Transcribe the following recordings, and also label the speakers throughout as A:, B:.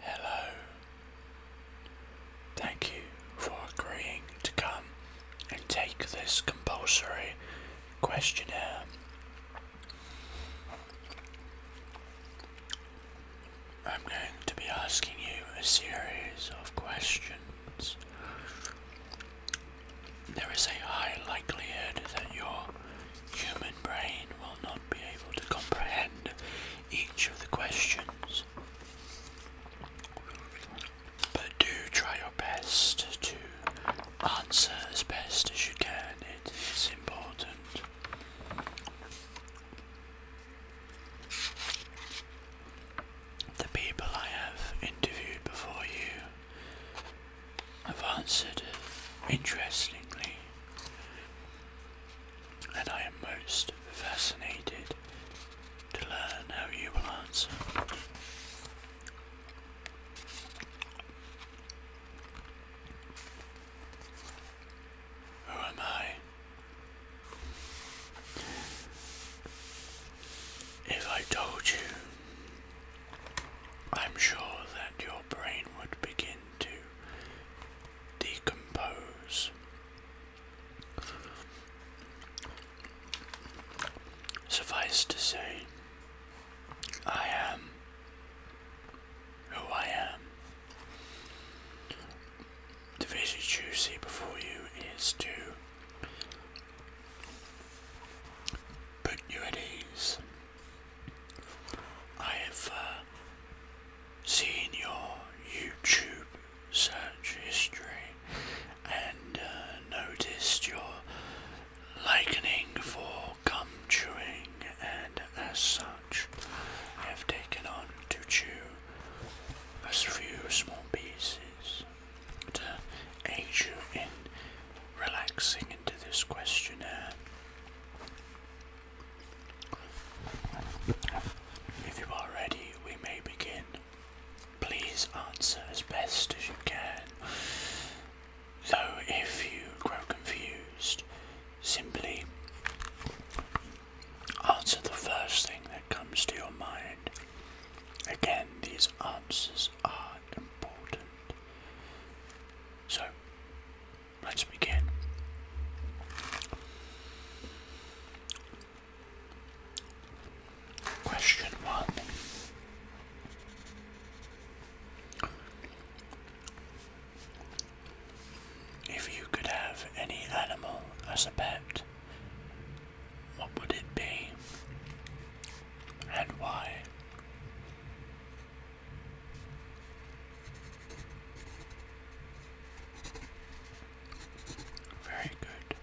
A: Hello. Thank you for agreeing to come and take this compulsory questionnaire. I'm going to be asking you a series of questions. There is a high likelihood that your human brain will will not be able to comprehend each of the questions. But do try your best to answer as best as you can, it is important. The people I have interviewed before you have answered interestingly and I am most fascinated to learn how you will answer. Who am I? If I told you, I'm sure that your brain would begin to decompose. Suffice to say, I am who I am. The vision you see before you is to put you at ease. I have uh, seen your YouTube search history and uh, noticed your liking for gum chewing, and as such, I have taken on to chew a few small pieces to aid you in relaxing into this questionnaire. If you are ready, we may begin. Please answer as best as you can. Though if you grow confused, simply answer the first thing that comes to your mind. Again, these answers are important. So, let's begin. Question one. If you could have any animal as a pet, what would it be and why? Very good.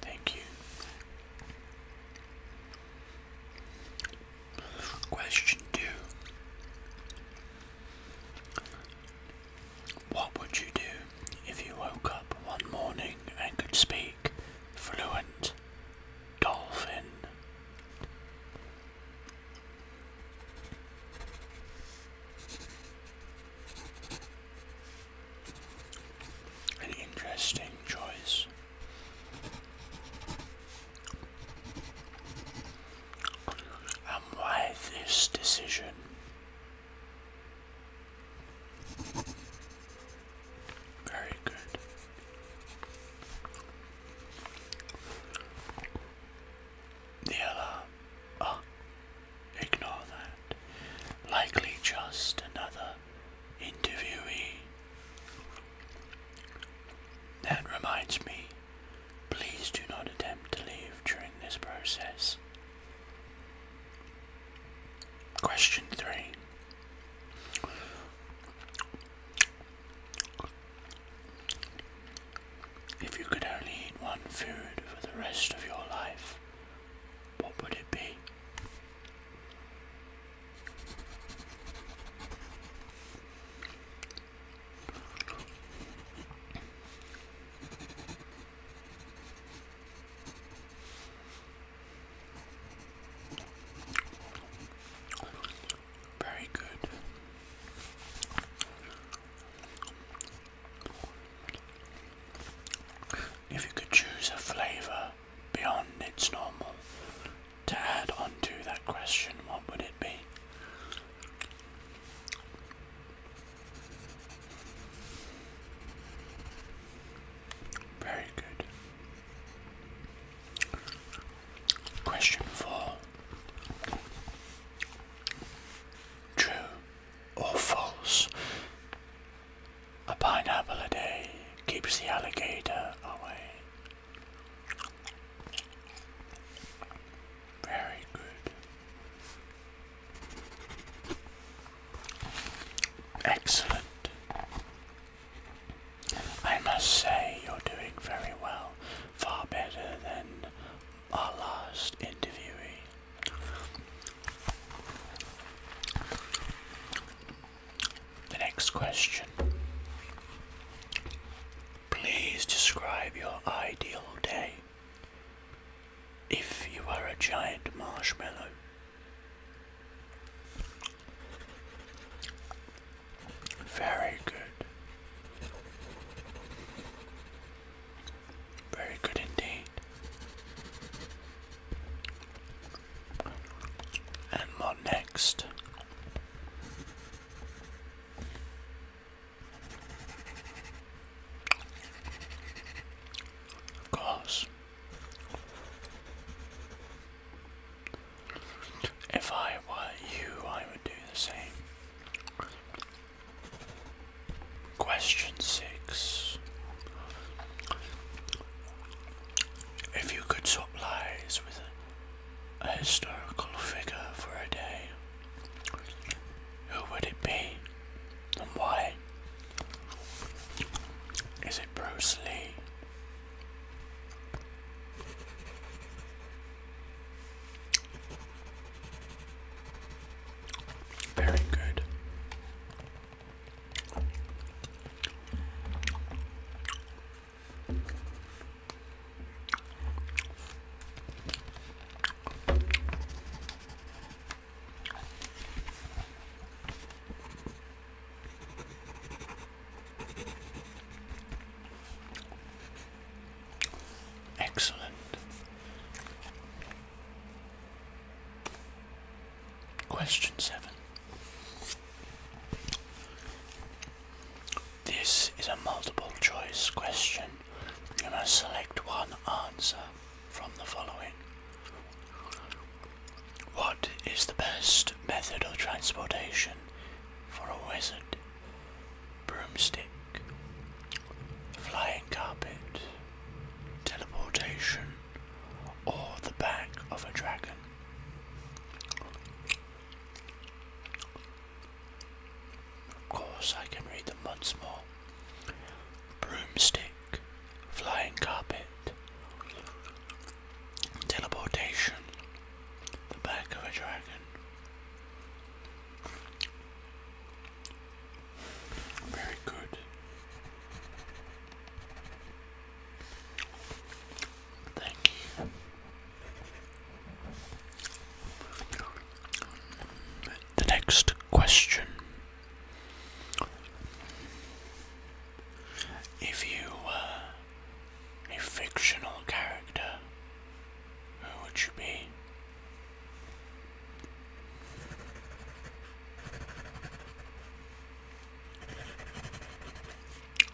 A: Thank you. Question two What would you do if you woke up one morning and could speak fluent dolphin? An interesting choice. And why this decision? Very good. The alarm. Oh, ignore that. Likely just another interviewee. That reminds me, please do not attempt to leave during this process. Question three. If you could only eat one food for the rest of your life, what would it be? Very good. If you could choose a flavour beyond its normal to add onto that question, what would it be? Very good. Question four True or false? A pineapple a day keeps the alligator away. Very good. Excellent. I must say, you're doing very well. Far better than our last interview. The next question. Please describe your ideal day if you are a giant marshmallow. Very good. Very good indeed. And what next? Because if I were you, I would do the same. Question six. If you could swap lives with a historical figure for a day, who would it be and why? Is it Bruce Lee? Very good. Excellent. Question seven. This is a multiple choice question you must select one answer from the following. What is the best method of transportation for a wizard? Broomstick, flying carpet, teleportation, or the back of a dragon? Of course, I can read them once more. Broomstick, flying carpet, teleportation, the back of a dragon. Very good. Thank you. The next question. If you were a fictional character, who would you be?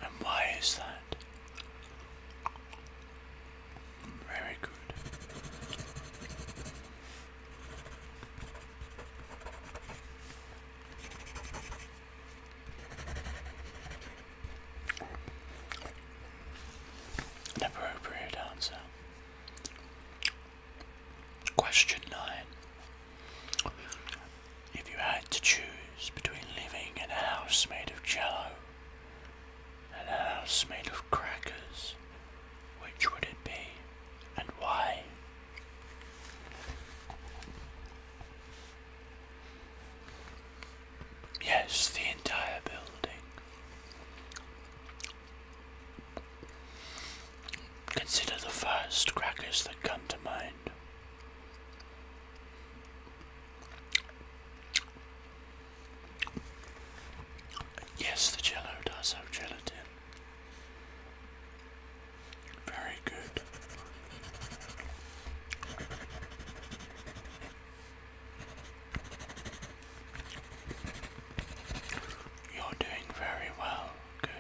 A: And why is that? Very good. appropriate answer. Question 9. If you had to choose between living in a house made of jello an house made of crackers. Which would it be and why? Yes, the entire building. Consider the first crackers that come to mind. Yes, the jello does have gelatin. Very good. You're doing very well. Good.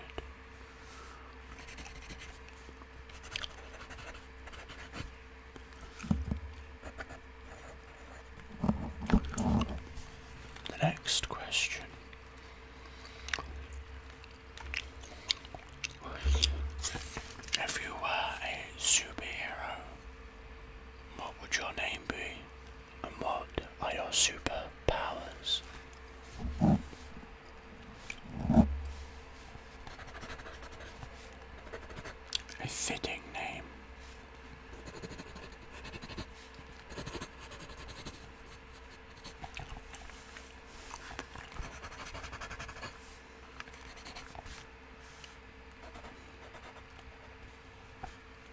A: The next question If you were a superhero, what would your name be? And what are your superpowers? A fitting name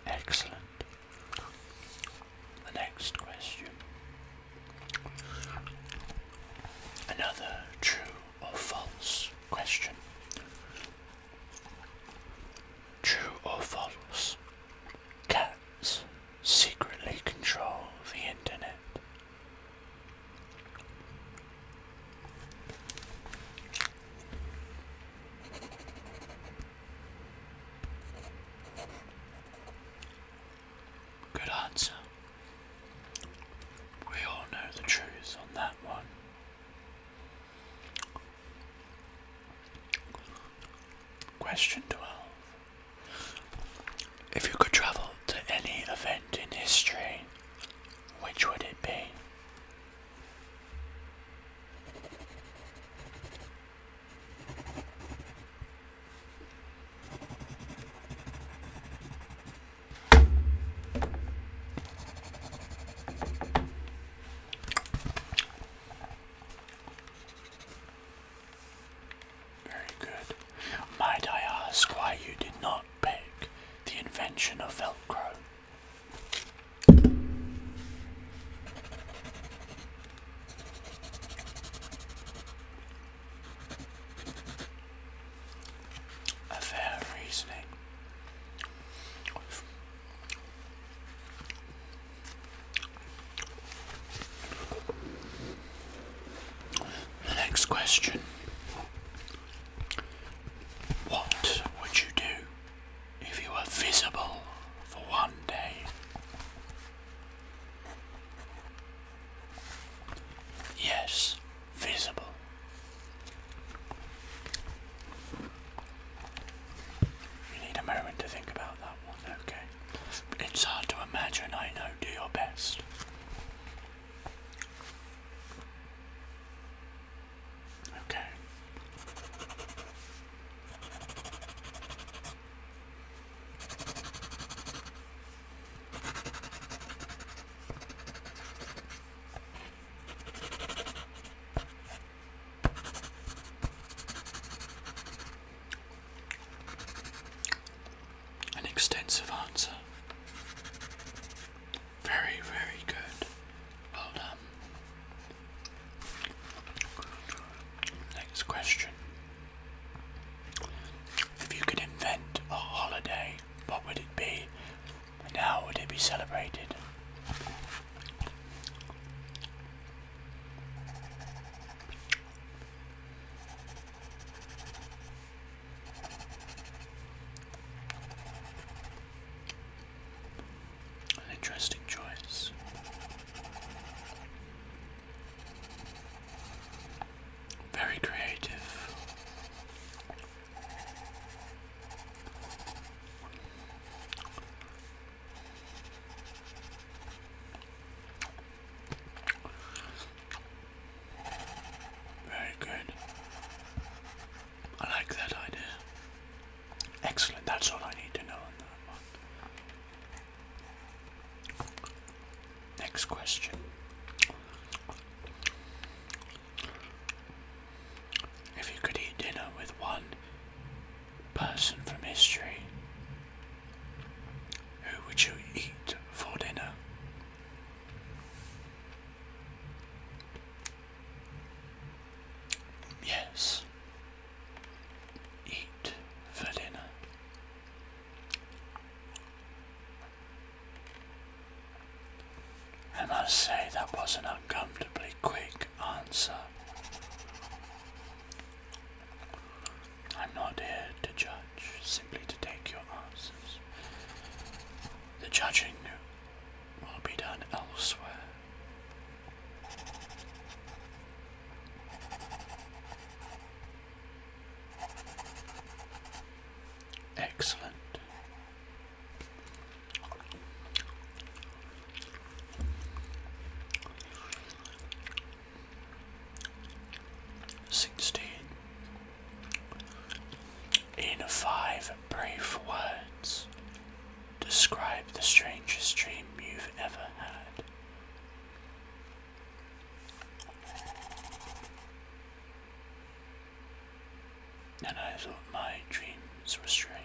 A: Excellent. The next question. Another true or false question. True or false? Cats secretly control the internet. Good answer. We all know the truth on that one. Question 12. If you could travel to any event in history, which would it be? Very good. Might I ask why you did not pick the invention of Velcro? a fair reasoning. The next question What would you do if you were visible for one day? Yes, visible. You need a moment to think about that one, okay? It's hard to imagine, I know. Do your best. Okay. An extensive answer. Very, very good. Well done. Next question. If you could invent a holiday, what would it be and how would it be celebrated? An interesting choice. Very creative. Very good. I like that idea. Excellent, that's all I need to know on that one. Next question. If you could eat dinner with one person from history, who would you eat for dinner? Yes. Eat for dinner. I must say that was an uncomfortably quick answer. I'm not here to judge, simply to take your answers. The judging will be done elsewhere. Excellent. Sixteen in five brief words. Describe the strangest dream you've ever had and I thought my dreams were strange.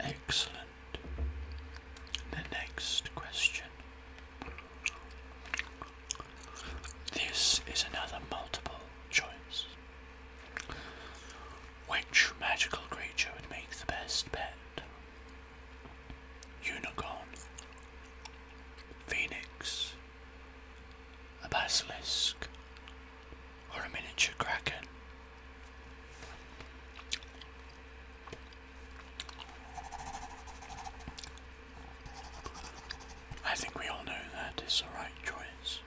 A: Excellent. The next question this is another multiple choice. Which magical creature would make the best pet? Unicorn, Phoenix, a basilisk, or a miniature kraken? I think we all know that is the right choice.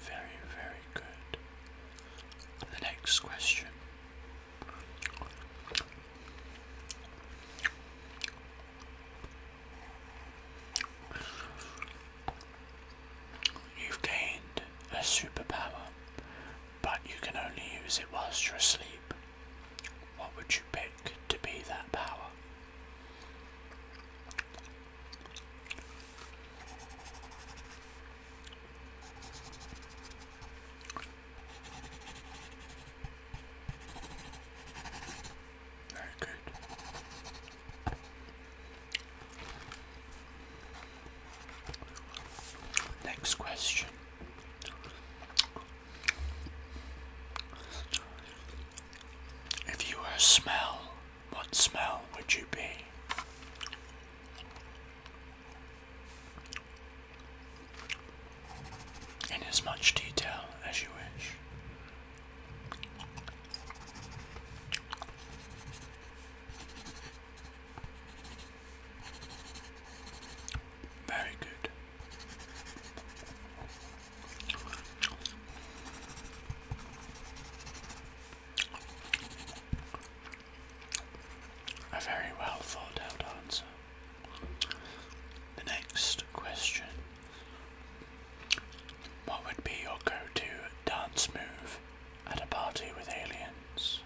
A: Very, very good. The next question. You've gained a superpower, but you can only use it whilst you're asleep what would you pick to be that power? Very good. Next question if you were a smell, what smell would you be? In as much detail as you wish. Very good. A very well thought out answer. The next question What would be your go to dance move at a party with aliens?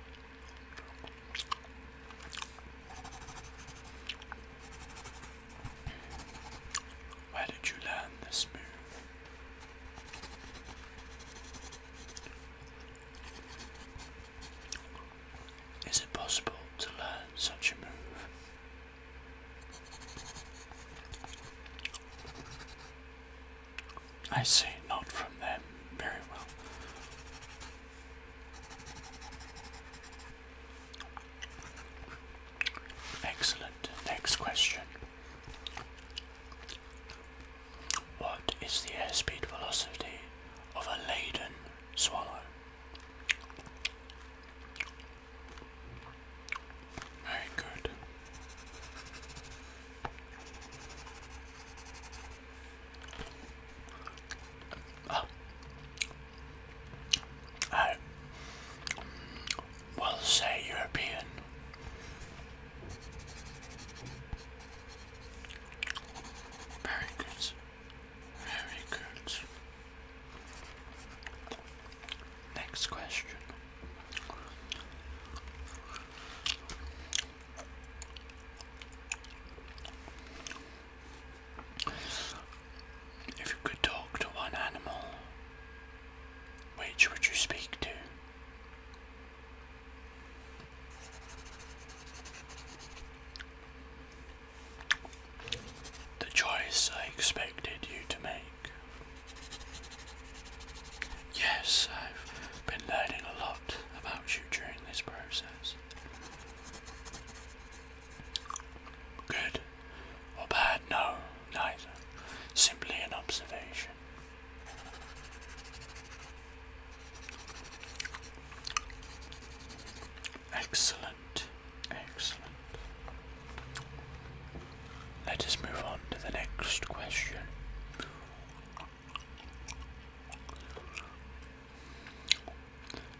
A: Where did you learn this move? Is it possible to learn such a move? I see, not from them. Very well. Excellent. Next question. What is the airspeed velocity of a laden swallow? Very good. I ah. will say European. Very good. Very good. Next question. If you could talk to one animal, which would you speak to? The choice I expected you to make. Yes, I've been learning a lot about you during this process. Good or bad? No, neither. Simply an observation. Excellent, excellent. Let us move on to the next question.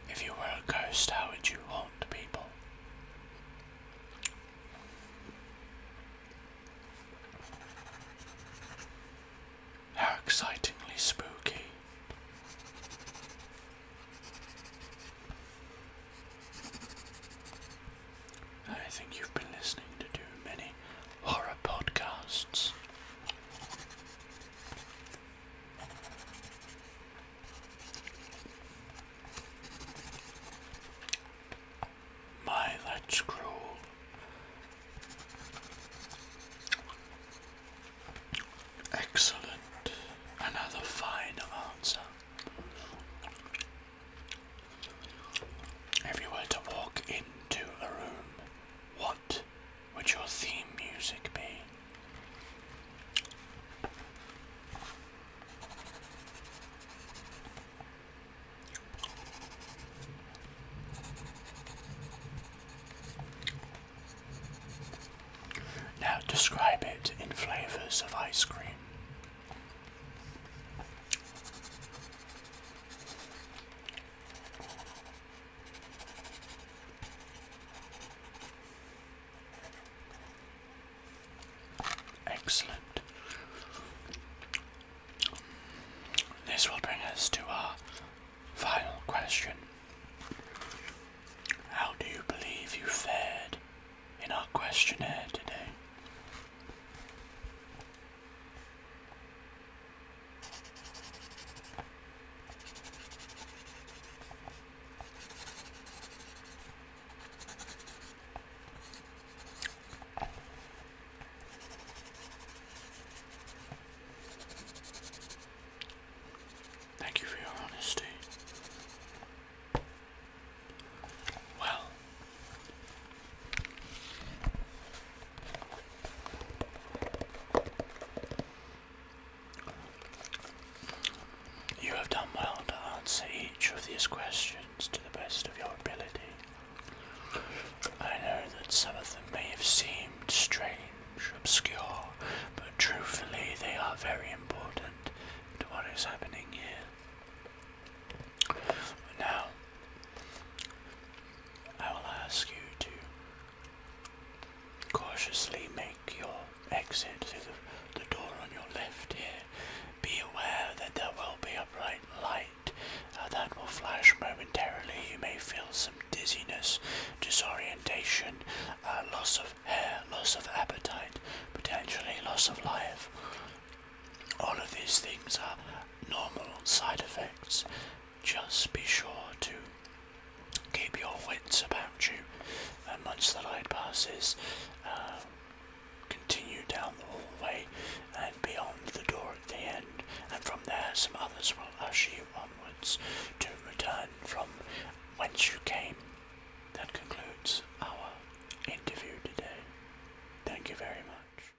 A: If you were a ghost, how would you haunt people? How excitingly spooky. I think you've been listening to too many horror podcasts. My, that's cruel. Excellent. Another fine answer. If you were to walk into a room, what what would your theme music be? Now describe it in flavours of ice cream. Excellent. This will bring us to our final question. How do you believe you fared in our questionnaire today? Thank you for your honesty. Well, you have done well to answer each of these questions to the best of your ability. I know that some of them may have seemed strange, obscure, but truthfully they are very important to what is happening here. Now, I will ask you to cautiously make your exit through the, door on your left here. Be aware that there will be a bright light uh, that will flash momentarily. You may feel some dizziness, disorientation, uh, loss of hair, loss of appetite, potentially loss of life. All of these things are normal side effects just be sure to keep your wits about you. And once the light passes, continue down the hallway and beyond the door at the end. And from there, some others will usher you onwards to return from whence you came. That concludes our interview today. Thank you very much.